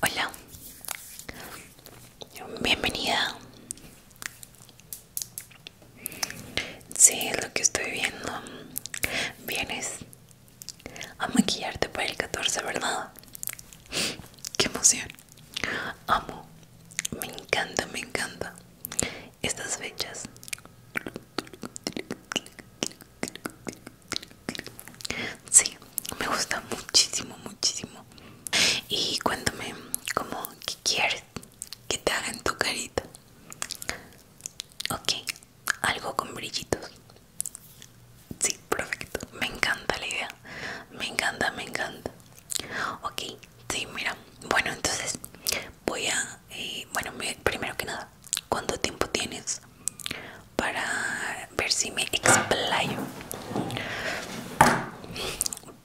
Hola, bienvenida. Si, lo que estoy viendo. Vienes a maquillarte para el 14, ¿verdad? Qué emoción. Amo, me encanta, me encanta estas fechas. Sí, me gusta muchísimo, muchísimo. Y cuéntame, como, qué quieres que te hagan tu carita? Ok, algo con brillitos. Sí, perfecto. Me encanta la idea. Me encanta, me encanta. Ok, sí, mira. Bueno, entonces voy a... Eh, bueno, primero que nada, cuánto tiempo tienes para ver si me explayo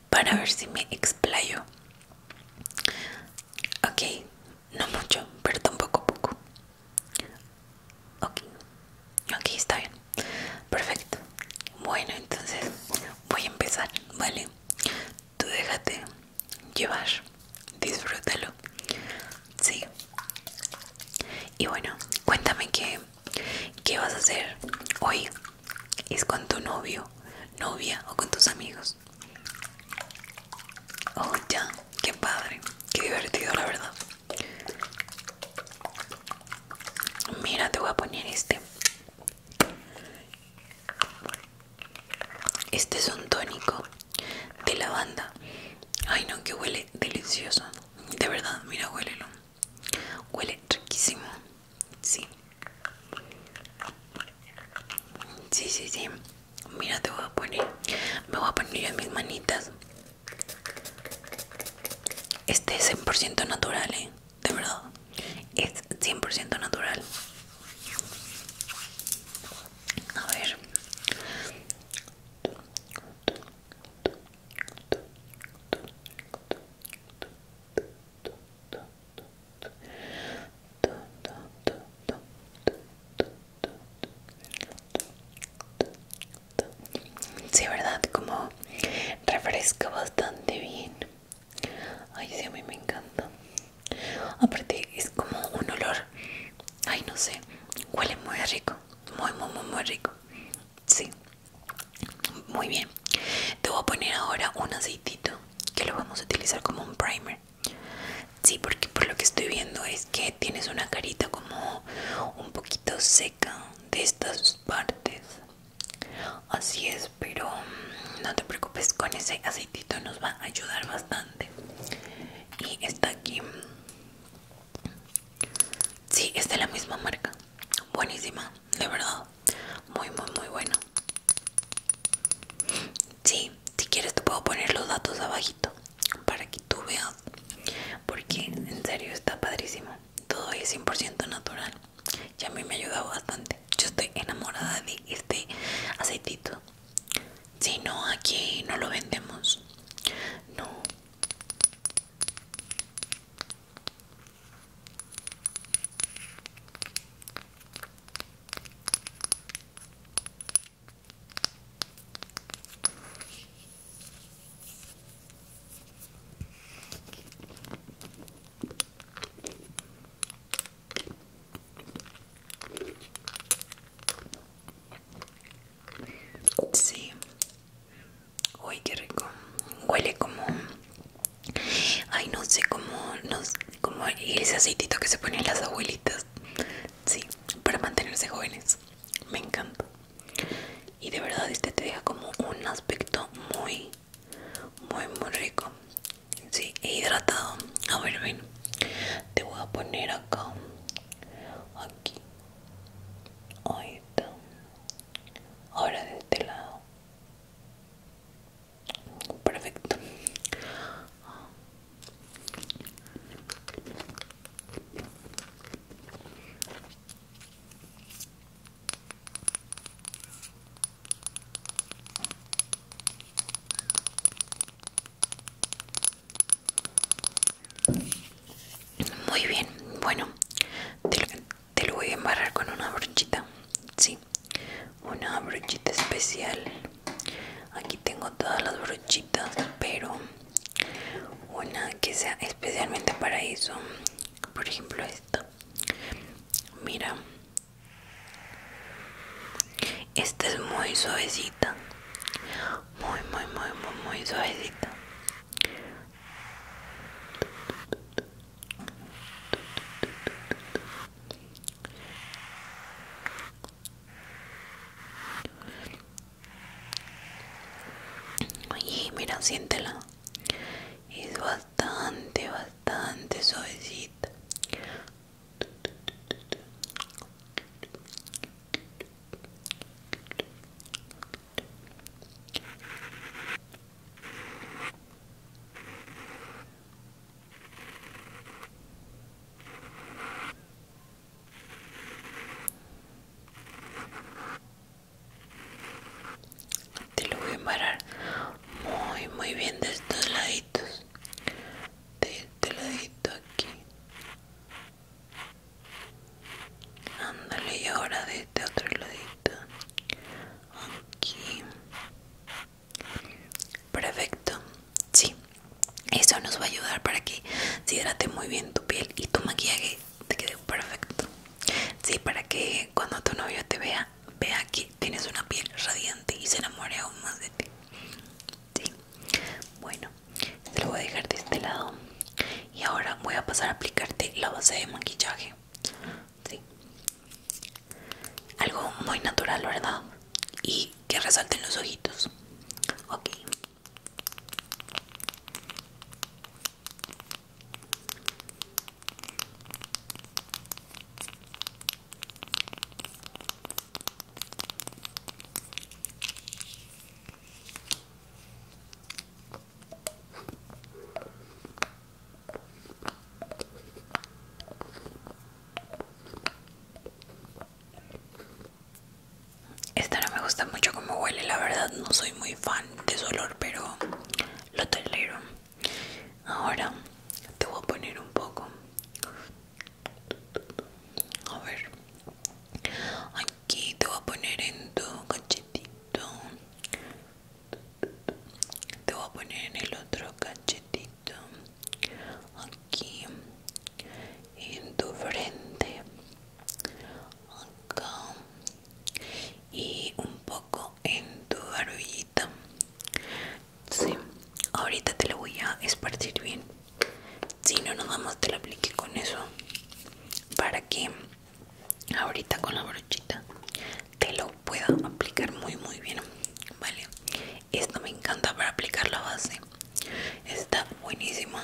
para ver si me explayo ok no mucho pero tampoco poco ok ok está bien perfecto bueno entonces voy a empezar vale tú déjate llevar disfrútalo. Sí. Y bueno, cuéntame qué, qué vas a hacer hoy. ¿Es con tu novio, novia o con tus amigos? Oh, ya, qué padre, qué divertido, la verdad. Mira, te voy a poner este. Este es un tónico de lavanda. Ay no, que huele delicioso. De verdad, mira, huélelo. Huele riquísimo. Sí. Sí, sí, sí. Mira, te voy a poner. Me voy a poner yo en mis manitas. Este es 100% natural, ¿eh? De verdad. Es 100% natural. A ver. Sí, verdad, como refresca bastante bien. Ay, sí, a mí me encanta aparte es como un olor ay no sé huele muy rico muy muy muy rico sí muy bien te voy a poner ahora un aceitito que lo vamos a utilizar como un primer sí porque por lo que estoy viendo es que tienes una carita como un poquito seca de estas partes así es pero mm, no te preocupes con ese aceitito nos va a ayudar bastante y está aquí sí es de la misma marca buenísima de verdad muy muy muy buena sí si quieres te puedo poner los datos abajito para que tú veas porque en serio está padrísimo todo es 100% natural y a mí me ha ayudado bastante yo estoy enamorada de este aceitito si no, aquí no lo vendemos. No. Sí. Uy, qué rico. Huele como... Ay, no sé, como, como ese aceitito que se ponen las abuelitas. Sí, para mantenerse jóvenes. Me encanta. Y de verdad este te deja como un aspecto muy, muy, muy rico. Sí, hidratado. A ver, ven. Te voy a poner acá. Aquí. Ahí está. Ahora de este lado. Perfecto. Muy bien, bueno, te lo, voy a embarrar con una brochita, sí, una brochita especial. Aquí tengo todas las brochitas, pero una que sea especialmente para eso. Por ejemplo esta. Mira, esta es muy suavecita. Muy, muy, muy, muy, muy suavecita. Oye, mira, siéntela. Es bastante, bastante suavecita. Te lo voy a parar muy muy bien de estos laditos de este ladito aquí ándale y ahora de este otro ladito aquí perfecto sí eso nos va a ayudar para que se hidrate muy bien tu piel y tu maquillaje te quede perfecto sí para que cuando tu novio te vea vea que tienes una piel radiante y se enamore aún más de ti. Sí. Bueno, te lo voy a dejar de este lado. Y ahora voy a pasar a aplicarte la base de maquillaje. Sí. Algo muy natural, ¿verdad? Y que resalten los ojitos. Ok. Esta no me gusta mucho como huele, la verdad no soy muy fan de su olor, pero lo tolero. Ahora te voy a poner un poco. A ver. Aquí te voy a poner en tu cachetito. Te voy a poner en el otro cachetito. Aquí. En tu frente. Acá. Y un poco en tu barbillita. Sí, ahorita te lo voy a esparcir bien. Si no, nada más te lo apliqué con eso. Para que ahorita con la brochita te lo pueda aplicar muy muy bien. Vale, Esto me encanta para aplicar la base. Está buenísima.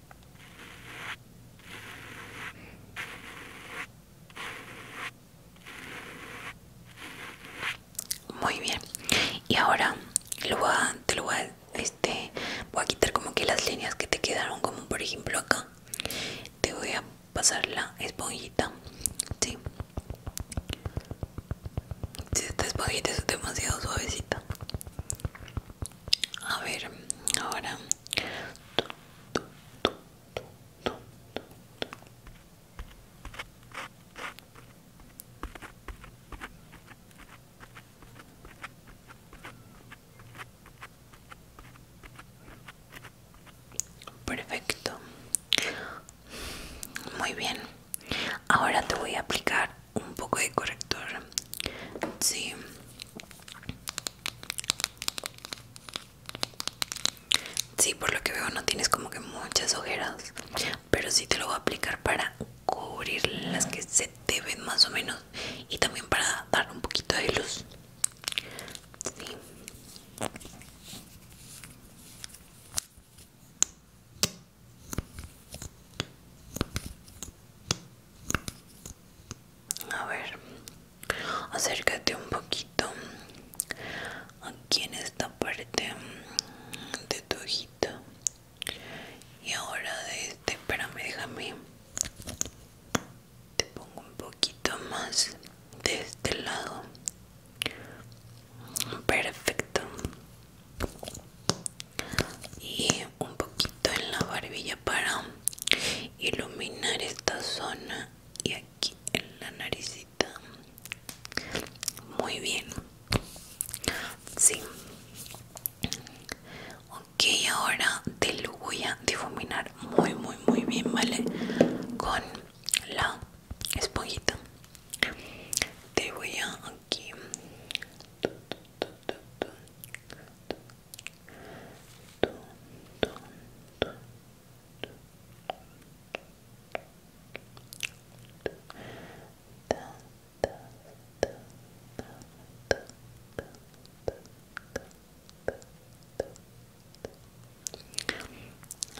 Muy bien. Y ahora lo te lo voy a, este, voy a quitar como que las líneas que te quedaron, como por ejemplo acá. Te voy a pasar la esponjita. Sí. Esta esponjita es demasiado suavecita. A ver, ahora. Perfecto. Muy bien. Ahora te voy a aplicar un poco de corrector sí sí por lo que veo no tienes como que muchas ojeras pero sí te lo voy a aplicar para cubrir las que se te ven más o menos y también para dar un poquito de luz sí. A ver, acércate un poquito aquí en esta parte de tu ojito. Y ahora de este, espérame, déjame. Te pongo un poquito más de este lado. Perfecto y un poquito en la barbilla para iluminar esta zona y aquí en la naricita muy bien sí ok ahora te lo voy a difuminar muy muy muy bien vale con la esponjita te voy a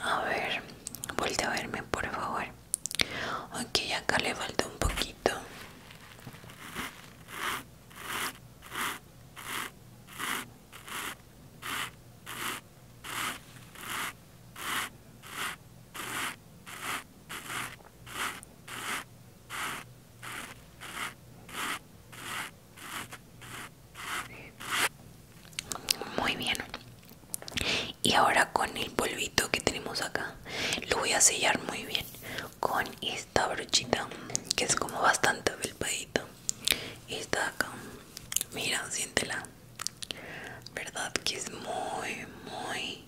a ver, vuelve a verme por favor. Ok, acá le falta un poquito muy bien y ahora con el polvito que tenemos acá lo voy a sellar muy bien con esta brochita que es como bastante Y está acá mira siéntela verdad que es muy muy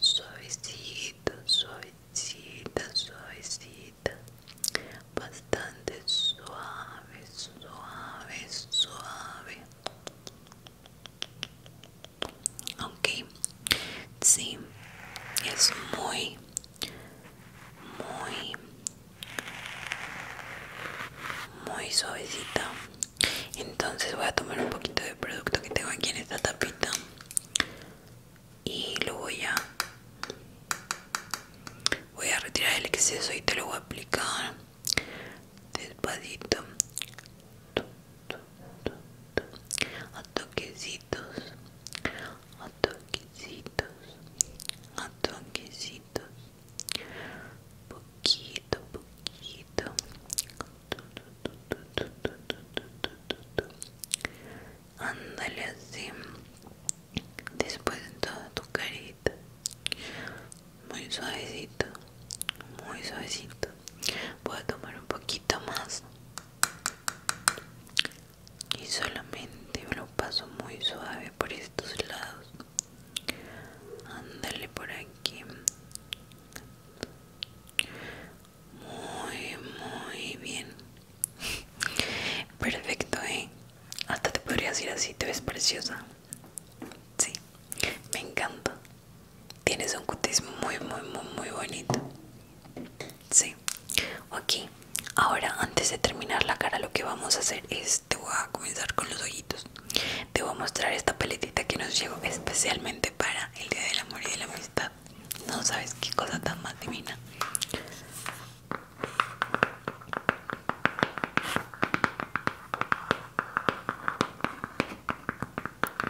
suavecita suavecita suavecita bastante suave suave suave ok sí es muy muy muy suavecita entonces voy a tomar un poquito de producto que tengo aquí en esta tapita y lo voy a voy a retirar el exceso y te lo voy a aplicar despacito a toquecitos a toquecitos a toquecitos poquito poquito andale así después en toda tu carita muy suavecito muy suavecito voy a tomar un poquito más y solamente lo paso muy suave por estos lados ándale por aquí muy muy bien perfecto eh hasta te podrías ir así te ves preciosa sí me encanta Tienes un cutis muy, muy, muy, muy bonito. Sí. Ok. Ahora, antes de terminar la cara, lo que vamos a hacer es, te voy a comenzar con los ojitos. Te voy a mostrar esta paletita que nos llegó especialmente para el Día del Amor y de la Amistad. No sabes qué cosa tan más divina.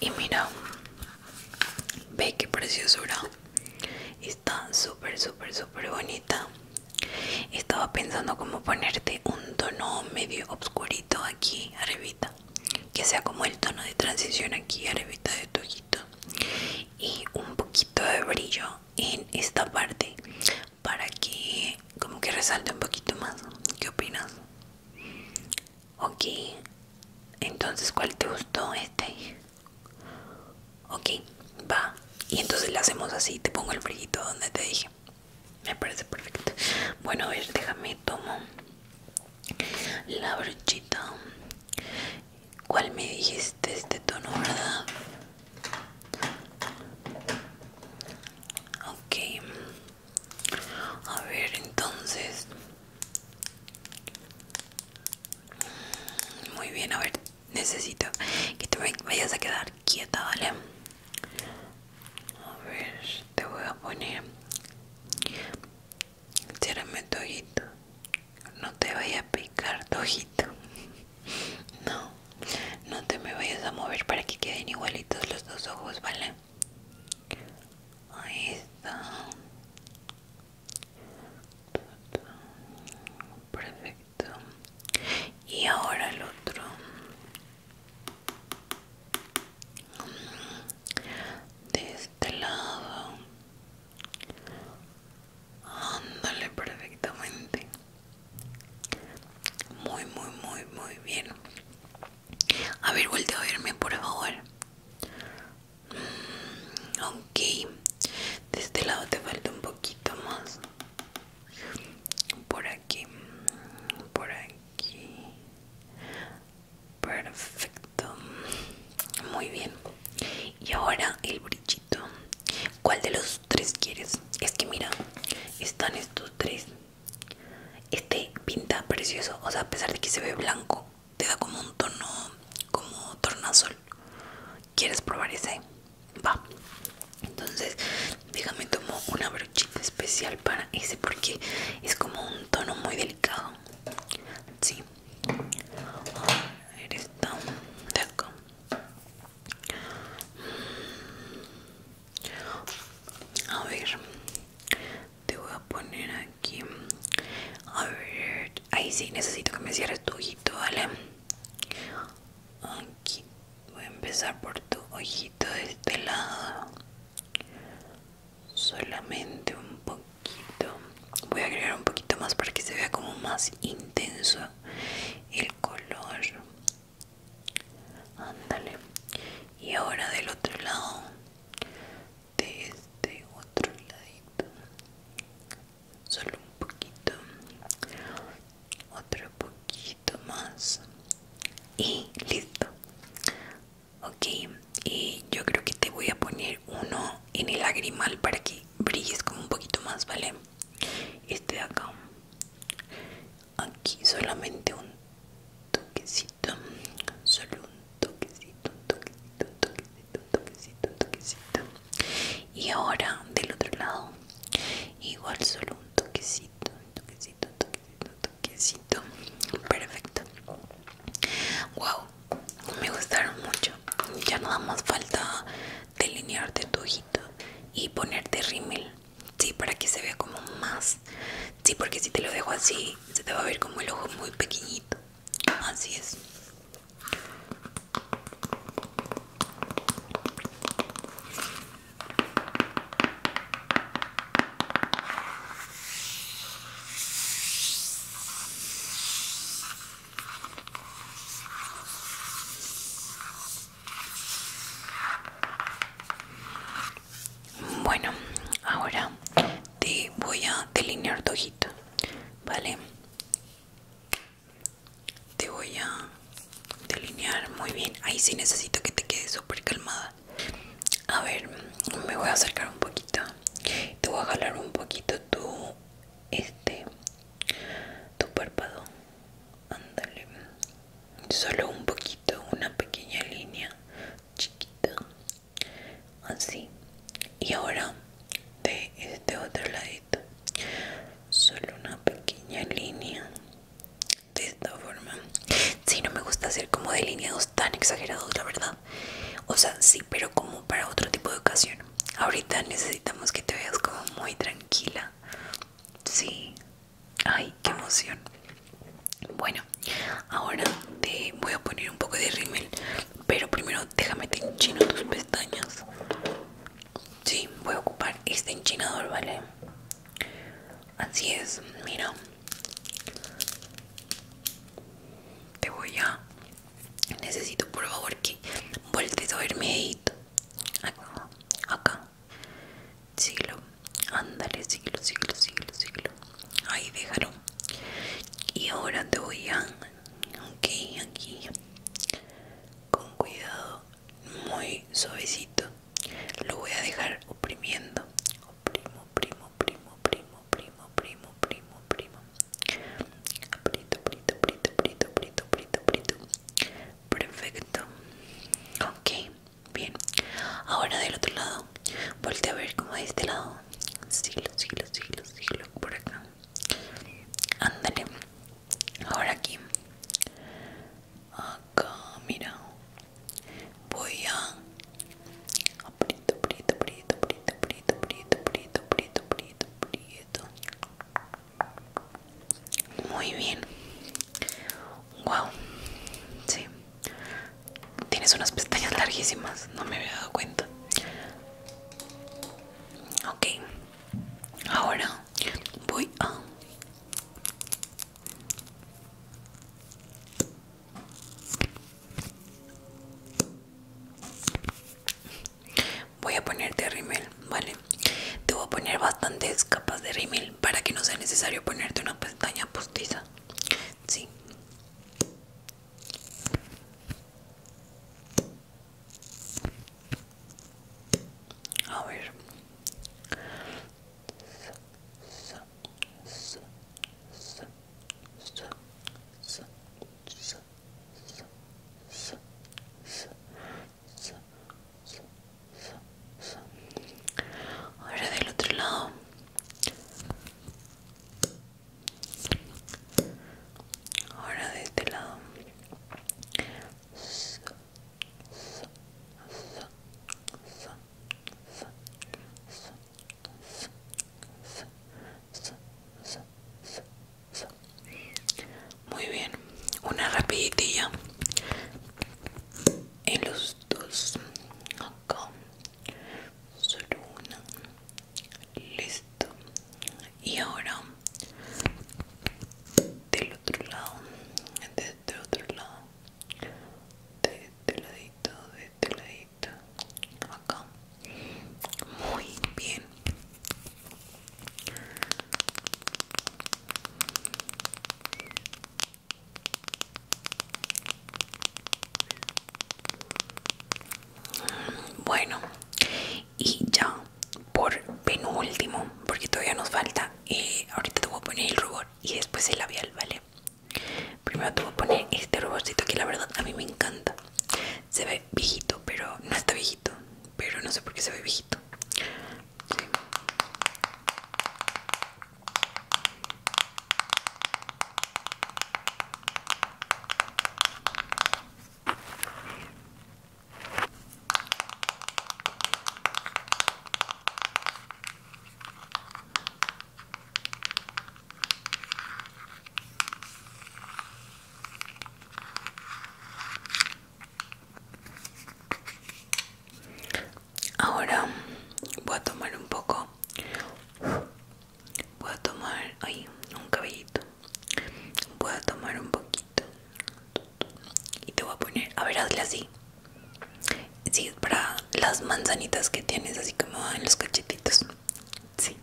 Y mira, ve qué preciosura. Está súper, súper, súper bonita. Estaba pensando como ponerte un tono medio obscurito aquí arribita que sea como el tono de transición aquí arribita de tu ojito y un poquito de brillo en esta parte para que como que resalte un poquito más ¿qué opinas? ok entonces ¿cuál te gustó? este ok va y entonces le hacemos así te pongo el brillito donde te dije me parece perfecto bueno a ver déjame tomo la brochita cuál me dijiste este tono verdad ok a ver entonces muy bien a ver necesito que te vayas a quedar quieta, ¿vale? A ver, te voy a poner. Ciérrame tojito No te vaya a picar tojito No, no te me vayas a mover para que queden igualitos los dos ojos, ¿vale? Ahí está. Perfecto. Y ahora el otro de este lado ándale perfectamente muy muy muy muy bien a ver volteo a verme por favor mm, ok de este lado te falta un poquito más por aquí por aquí perfecto muy bien y ahora el brillito cuál de los tres quieres es que mira están estos tres este pinta precioso o sea a pesar de que se ve blanco te da como un tono como tornasol quieres probar ese va entonces déjame tomo una brochita especial para ese porque es como un tono muy delicado sí a ver esta a ver te voy a poner aquí a ver ahí sí necesito que me cierres tu ojito vale aquí voy a empezar por tu ojito de este lado solamente un poquito voy a agregar un poquito más para que se vea como más intenso el color ándale y ahora del otro lado de este otro ladito solo un poquito otro poquito poquito más y listo ok y yo creo que te voy a poner uno en el lagrimal para que brilles como un poquito más vale este de acá aquí solamente un toquecito solo un toquecito un toquecito un toquecito un toquecito un toquecito y ahora del otro lado igual solo un toquecito toquecito un toquecito toquecito perfecto wow me gustaron mucho ya nada más falta delinearte tu ojito y ponerte rímel sí para que se vea como más sí porque si te lo dejo así se te va a ver como el ojo muy pequeñito así es bueno, ahora te voy a delinear tu ojito, ¿vale? te voy a delinear muy bien. Ahí sí necesito que te quedes súper calmada. A ver, me voy a acercar un poquito. Te voy a jalar un poquito tu este tu párpado. Ándale. Solo un poquito, una pequeña línea chiquita. Así. Y ahora de este otro lado solo una pequeña línea de esta forma si no me gusta hacer como delineados tan exagerados la verdad o sea sí pero como para otro tipo de ocasión ahorita necesitamos que te veas como muy tranquila sí ay qué emoción bueno ahora te voy a poner un poco de rímel pero primero déjame te enchino tus pestañas Sí, voy a ocupar este enchinador, ¿vale? Así es, mira. Te voy a... Necesito por favor que vueltes a verme ahí. Acá, acá. Ándale, siglo, siglo, siglo, siglo. Ahí, déjalo. Y ahora te voy a... aquí. Con cuidado muy suavecito lo voy a dejar oprimiendo oprimo primo primo primo primo primo primo primo aprieto aprito aprieto aprito aprito aprito aprieto perfecto ok bien ahora del otro lado volte a ver como de este lado siglo siglo siglo siglo por acá Ándale. Ahora aquí. Acá, mira. Voy a. Aprieto, aprieto, aprieto, Apreto, aprieto, aprieto, Apreto, aprieto, aprieto, aprieto. Muy bien. Wow. Sí. Tienes unas pestañas larguísimas, no me había dado cuenta. Ok, Ahora voy a voy a ponerte rímel, ¿vale? Te voy a poner bastantes capas de rímel para que no sea necesario ponerte una pestaña postiza. Sí. A ver. Ahora del otro lado. Ahora de este lado. Muy bien, una rapiditilla en los dos acá solo una listo y ahora del otro lado de este otro lado de este ladito de este ladito acá muy bien bueno y ya por penúltimo porque todavía nos falta eh, ahorita te voy a poner el rubor y después el labial vale primero te voy a poner este ruborcito que la verdad a mí me encanta se ve viejito pero no está viejito pero no sé por qué se ve viejito Ahora voy a tomar un poco. Voy a tomar ay, un cabellito voy a tomar un poquito y te voy a poner a ver hazle así sí es para las manzanitas que tienes así como en los cachetitos sí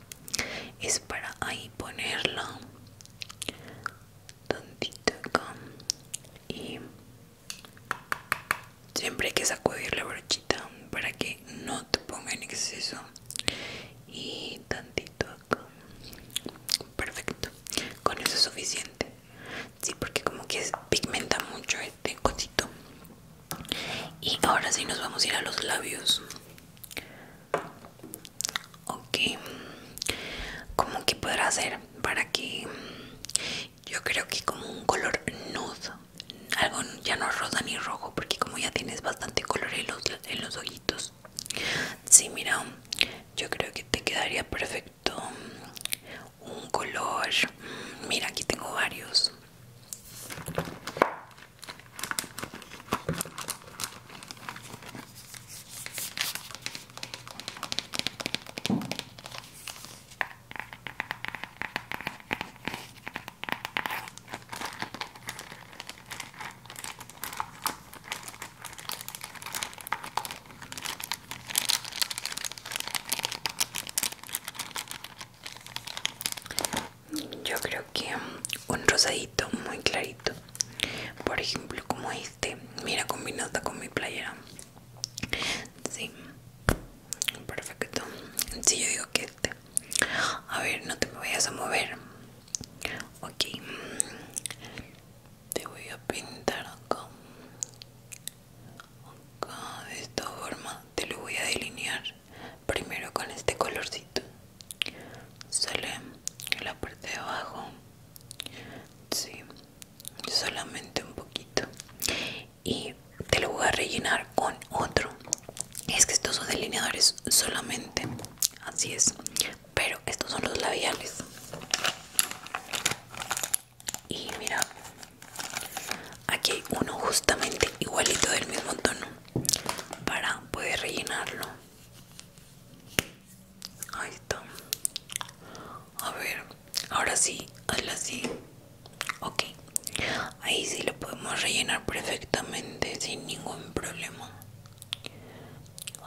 es para ahí ponerlo tantito y siempre hay que sacudir la brochita para que no te ponga en exceso y tantito Perfecto. Con eso es suficiente. Sí, porque como que pigmenta mucho este cosito. Y ahora sí nos vamos a ir a los labios. Ok. Como que podrá hacer para que yo creo que como un color nude, algo ya no rosa ni rojo, porque como ya tienes bastante color en los, en los ojitos, Sí, mira, yo creo que te quedaría perfecto un color. Mira, aquí tengo varios. Yo creo que un rosadito muy clarito, por ejemplo, como este. Mira, combinada con mi playera. Sí, perfecto. Si yo digo que a ver, no te me vayas a mover. Ok. Te voy a pintar acá. Acá, de esta forma. Te lo voy a delinear primero con este colorcito. Sale en la parte de abajo. Sí, solamente un poquito. Y te lo voy a rellenar con otro es que estos son delineadores solamente así es pero estos son los labiales y mira aquí hay uno justamente igualito del mismo tono para poder rellenarlo ahí está a ver ahora sí hazla así ok ahí sí lo podemos rellenar perfectamente sin ningún problema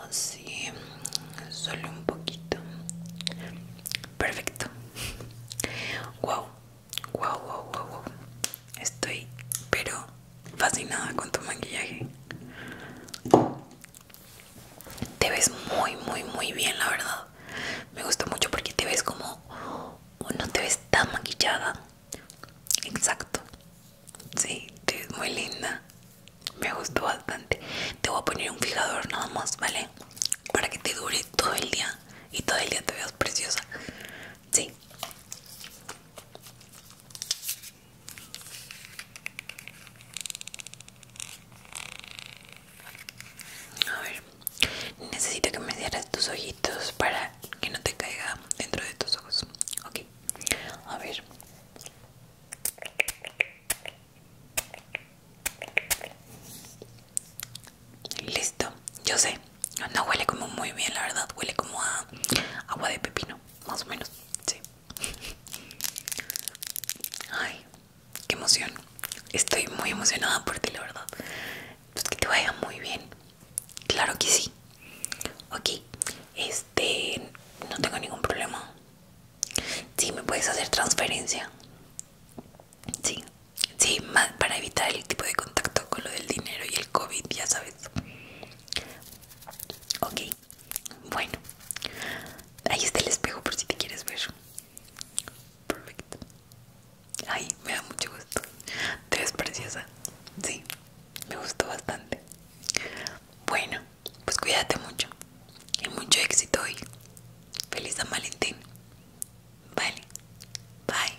Así solo un poquito. Perfecto. Wow, wow, wow, wow, wow. Estoy, pero fascinada con tu maquillaje. Te ves muy, muy, muy bien, la verdad. Me gusta mucho porque te ves como. Oh, no te ves tan maquillada. Exacto. Sí, es muy linda. Me gustó bastante. Te voy a poner un fijador nada más, ¿vale? Para que te dure todo el día y todo el día te veas preciosa. Sí. A ver, necesito que me cierres tus ojitos para que no te caiga dentro de tus ojos. Ok, a ver. Listo, yo sé. No huele como muy bien, la verdad. Huele como a agua de pepino, más o menos. Sí. Ay, qué emoción. Estoy muy emocionada por ti, la verdad. Pues, que te vaya muy bien. Claro que sí. Ok, este, no tengo ningún problema. Sí, me puedes hacer transferencia. Sí, sí, más para evitar el tipo de contacto con lo del dinero y el COVID, ya sabes. Ok, bueno, ahí está el espejo por si te quieres ver. Perfecto. Ay, me da mucho gusto. Te eres preciosa. Sí, me gustó bastante. Bueno, pues cuídate mucho. Y mucho éxito hoy. Feliz San Valentín. Vale. Bye.